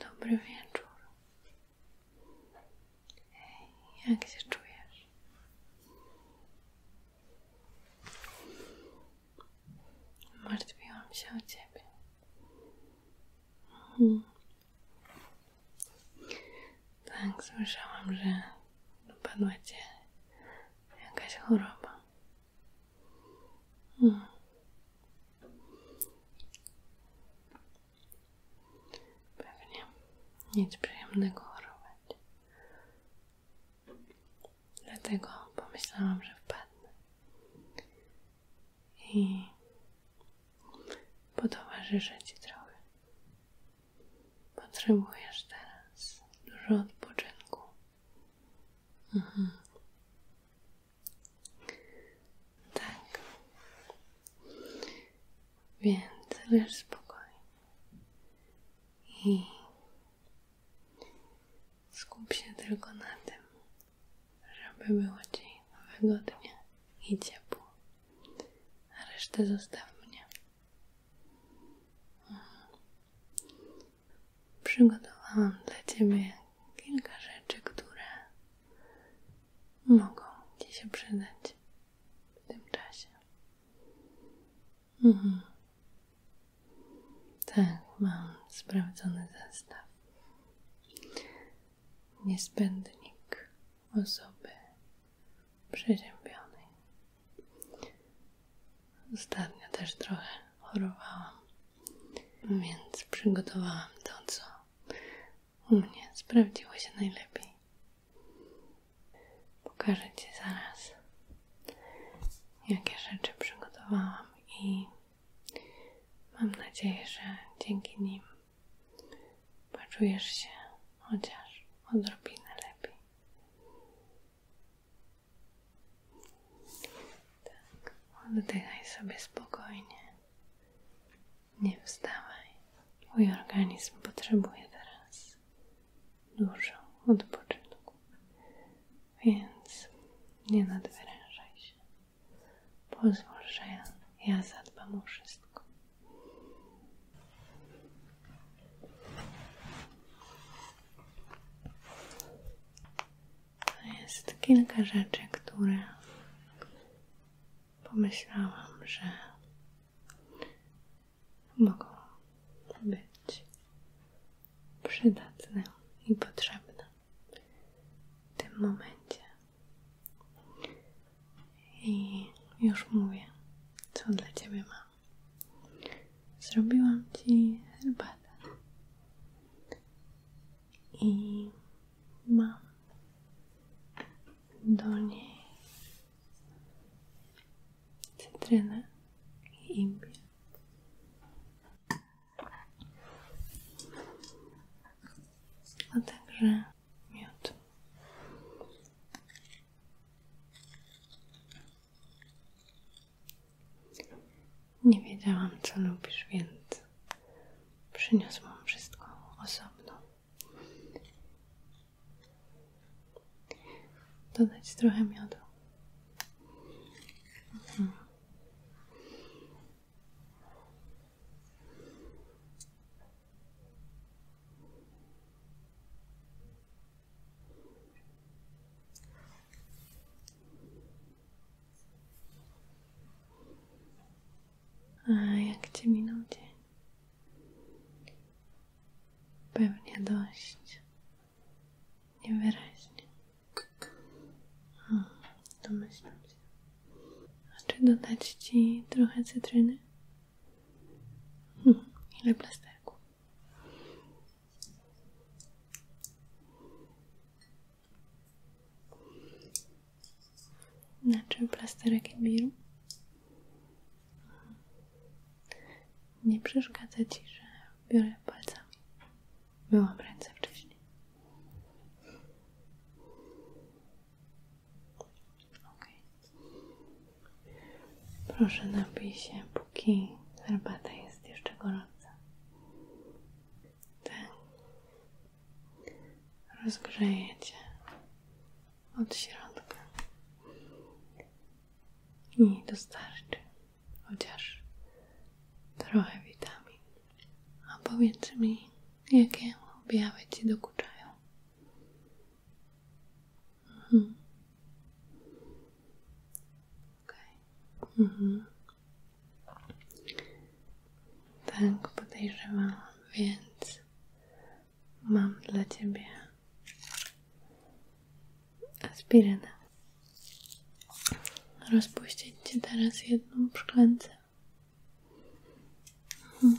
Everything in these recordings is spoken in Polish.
Dobry wieczór. Jak się czujesz? Martwiłam się o ciebie. Hmm. Tak, słyszałam, że dopadła cię jakaś choroba. Hmm. Pewnie nic przyjemnego chorować. Dlatego pomyślałam, że wpadnę. I potowarzyszę Ci trochę. Potrzebujesz teraz dużo odpoczynku. Mhm. Tak. Więc leż spokojnie. I skup się tylko na tym, żeby było Ci wygodnie i ciepło. A resztę zostaw mnie przygotowałam dla Ciebie kilka rzeczy, które mogą Ci się przydać w tym czasie. Mhm. Tak, mam sprawdzony zestaw. Niespędnik osoby przeziębionej. Ostatnio też trochę chorowałam. Więc przygotowałam to, co u mnie sprawdziło się najlepiej. Pokażę Ci zaraz, jakie rzeczy przygotowałam i mam nadzieję, że dzięki nim poczujesz się chociaż odrobinę lepiej. Tak, oddychaj sobie spokojnie. Nie wstawaj. Mój organizm potrzebuje teraz dużo odpoczynku, więc nie nadwyrężaj się. Pozwól, że ja, ja zadbam o wszystko jest kilka rzeczy, które pomyślałam, że mogą być przydatne i potrzebne w tym momencie. I już mówię, co dla Ciebie mam. Zrobiłam Ci herbatę i mam do niej cytrynę i imbier. A także miód. Nie wiedziałam, co lubisz, więc przyniosłam wszystko osobno. Dodać trochę miodu. Mhm. A jak ci minął dzień? Pewnie dość niewyraźnie. Hmm, domyślam się. A dodać Ci trochę cytryny? Hmm, ile plasterków? Na czym plasterek biru? Nie przeszkadza Ci, że biorę palcami. Byłam ręce wcześniej. Okay. Proszę napij póki herbata jest jeszcze gorąca. Ten tak. od środka i dostarczy chociaż trochę witamin. A powiedz mi, jakie objawy ci dokuczają? Mhm. Okay. Mhm. Tak, podejrzewam, więc mam dla ciebie aspirynę. Rozpuścić ci teraz jedną szklankę. Mhm.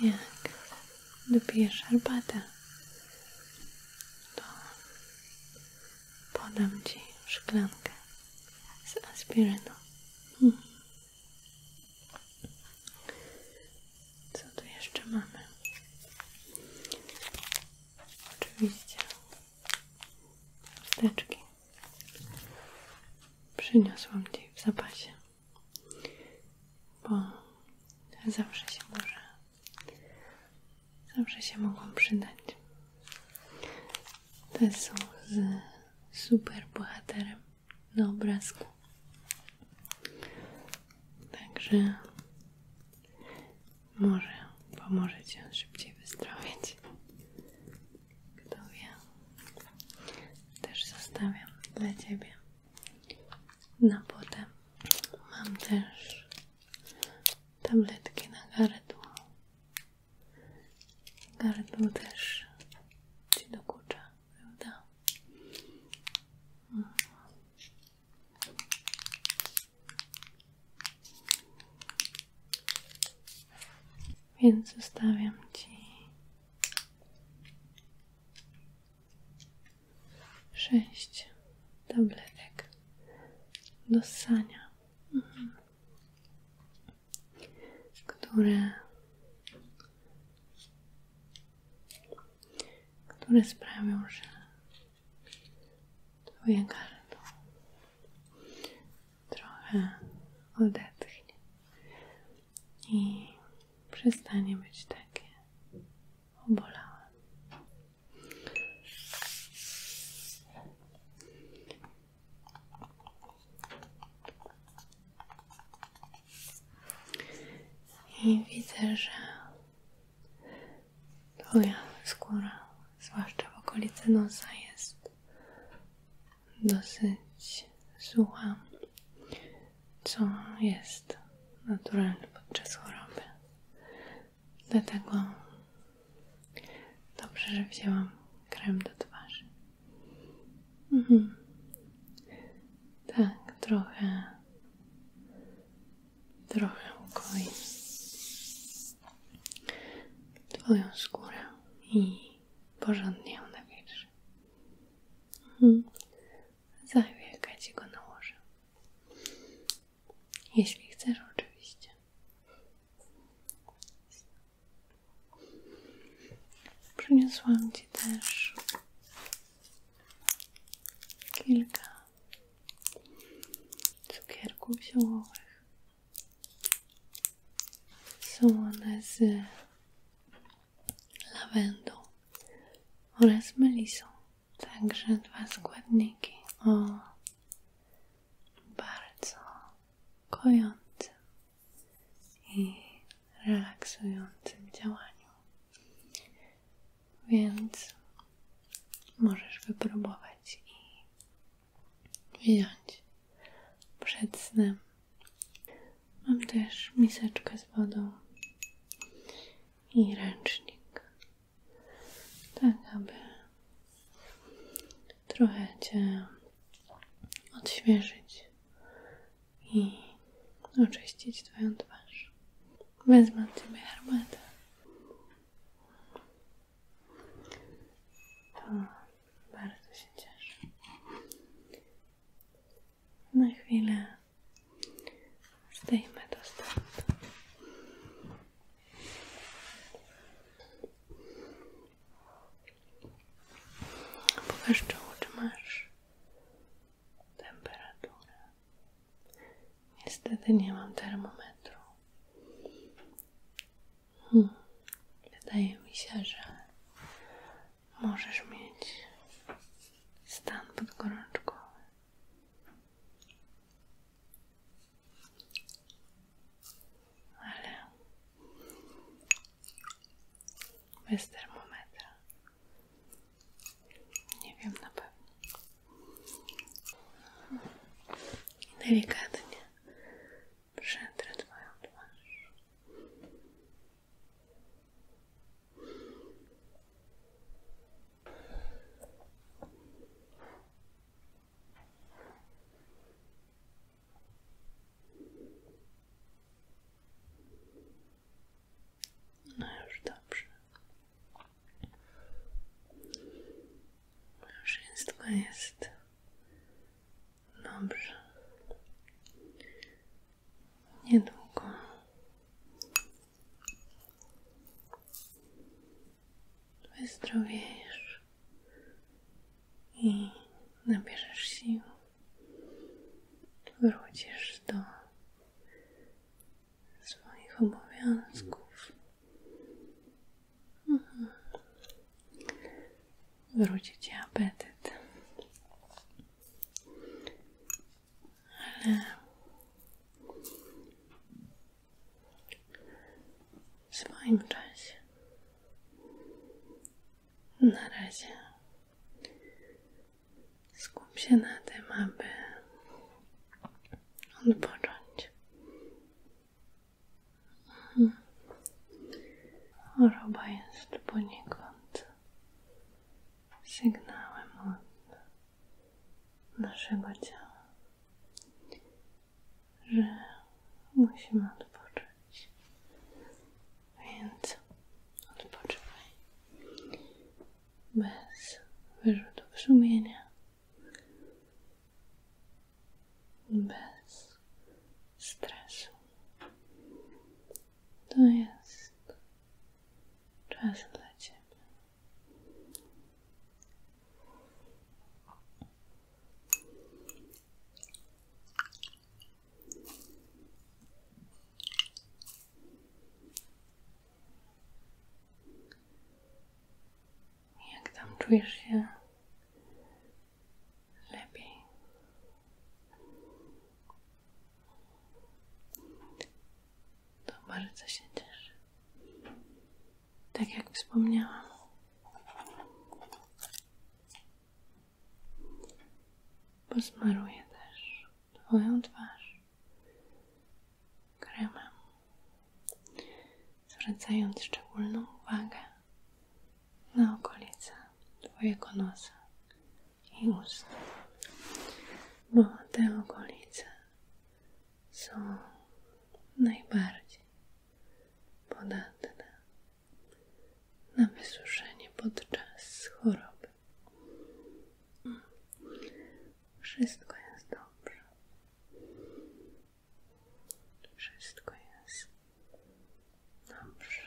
Jak dopijesz herbatę, to podam Ci szklankę z aspiryną. Hmm. Co tu jeszcze mamy? Oczywiście Wsteczki. Przyniosłam Ci w zapasie, bo zawsze się może, zawsze się mogą przydać. Te są z superbohaterem na obrazku. Także może pomoże Ci on szybciej wyzdrowieć. Kto wie? Też zostawiam dla Ciebie. Na no potem mam też tabletki na gardło. Gardło też Ci dokucza, prawda? Więc zostawiam Ci sześć tabletek do ssania, mhm, które, które sprawią, że Twoje gardło trochę odetchnie i przestanie być takie obolałe. I widzę, Twoja skóra, zwłaszcza w okolicy nosa, jest dosyć sucha, co jest naturalne podczas choroby. Dlatego dobrze, że wzięłam krem do twarzy. Mhm. Tak, trochę trochę ukoi Twoją skórę i porządnie ją nawietrz. Mhm. Za chwilkę Ci go nałożę. Jeśli chcesz, oczywiście. Przyniosłam Ci też kilka cukierków ziołowych. Są one z lawendą oraz melisą. Także dwa składniki o bardzo kojącym i relaksującym działaniu. Więc możesz wypróbować i wziąć przed snem. Mam też miseczkę z wodą i ręcznik, tak aby trochę Cię odświeżyć i oczyścić Twoją twarz. Wezmę od Ciebie herbatę. bardzo się cieszę. Na chwilę zdejmę to stąd. Pokaż czoło, masz temperaturę. Niestety nie mam termometru. Hmm. Wydaje mi się, że możesz mieć stan podgorączkowy. Ale bez termometra nie wiem na pewno. I delikatnie przetrę Twoją twarz. No już dobrze. Już wszystko jest dobrze. Niedługo wyzdrowiejesz i nabierzesz sił. Wrócisz do swoich obowiązków. Mhm. Wróci ci apetyt. Ale w swoim czasie. Na razie. Skup się na tym, aby odpocząć. Mhm. Choroba jest poniekąd sygnałem od naszego ciała, że musimy odpocząć. Więc odpoczywaj bez wyrzutów sumienia, bez stresu. To jest czas dla Ciebie. Jak tam czujesz się? Lepiej. To bardzo się cieszę. Tak jak wspomniałam. Posmaruję też Twoją twarz kremem, zwracając szczególną uwagę na okolice Twojego nosa i ust, bo te okolice są najbardziej podatne na wysuszenie podczas choroby. Wszystko jest dobrze. Wszystko jest dobrze.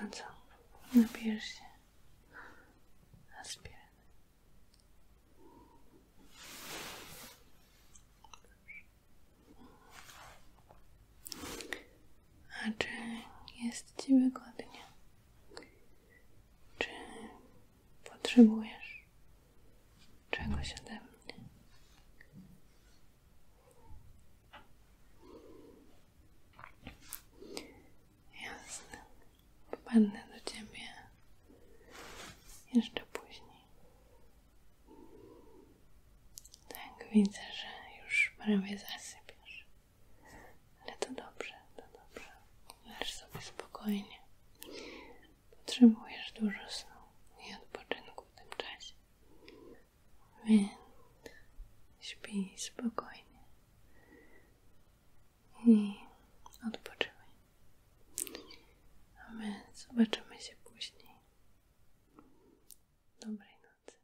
No co? Napijesz się aspiryny. A czy jest Ci wygodnie? Czy potrzebujesz czegoś ode mnie? Jasne. Wpadnę do ciebie jeszcze później. Tak, widzę, że już prawie zasypiasz. Ale to dobrze, to dobrze. Leż sobie spokojnie. Potrzebujesz dużo snu i odpoczynku w tym czasie. Więc śpij spokojnie i odpoczywaj. A my zobaczymy się później. Dobrej nocy.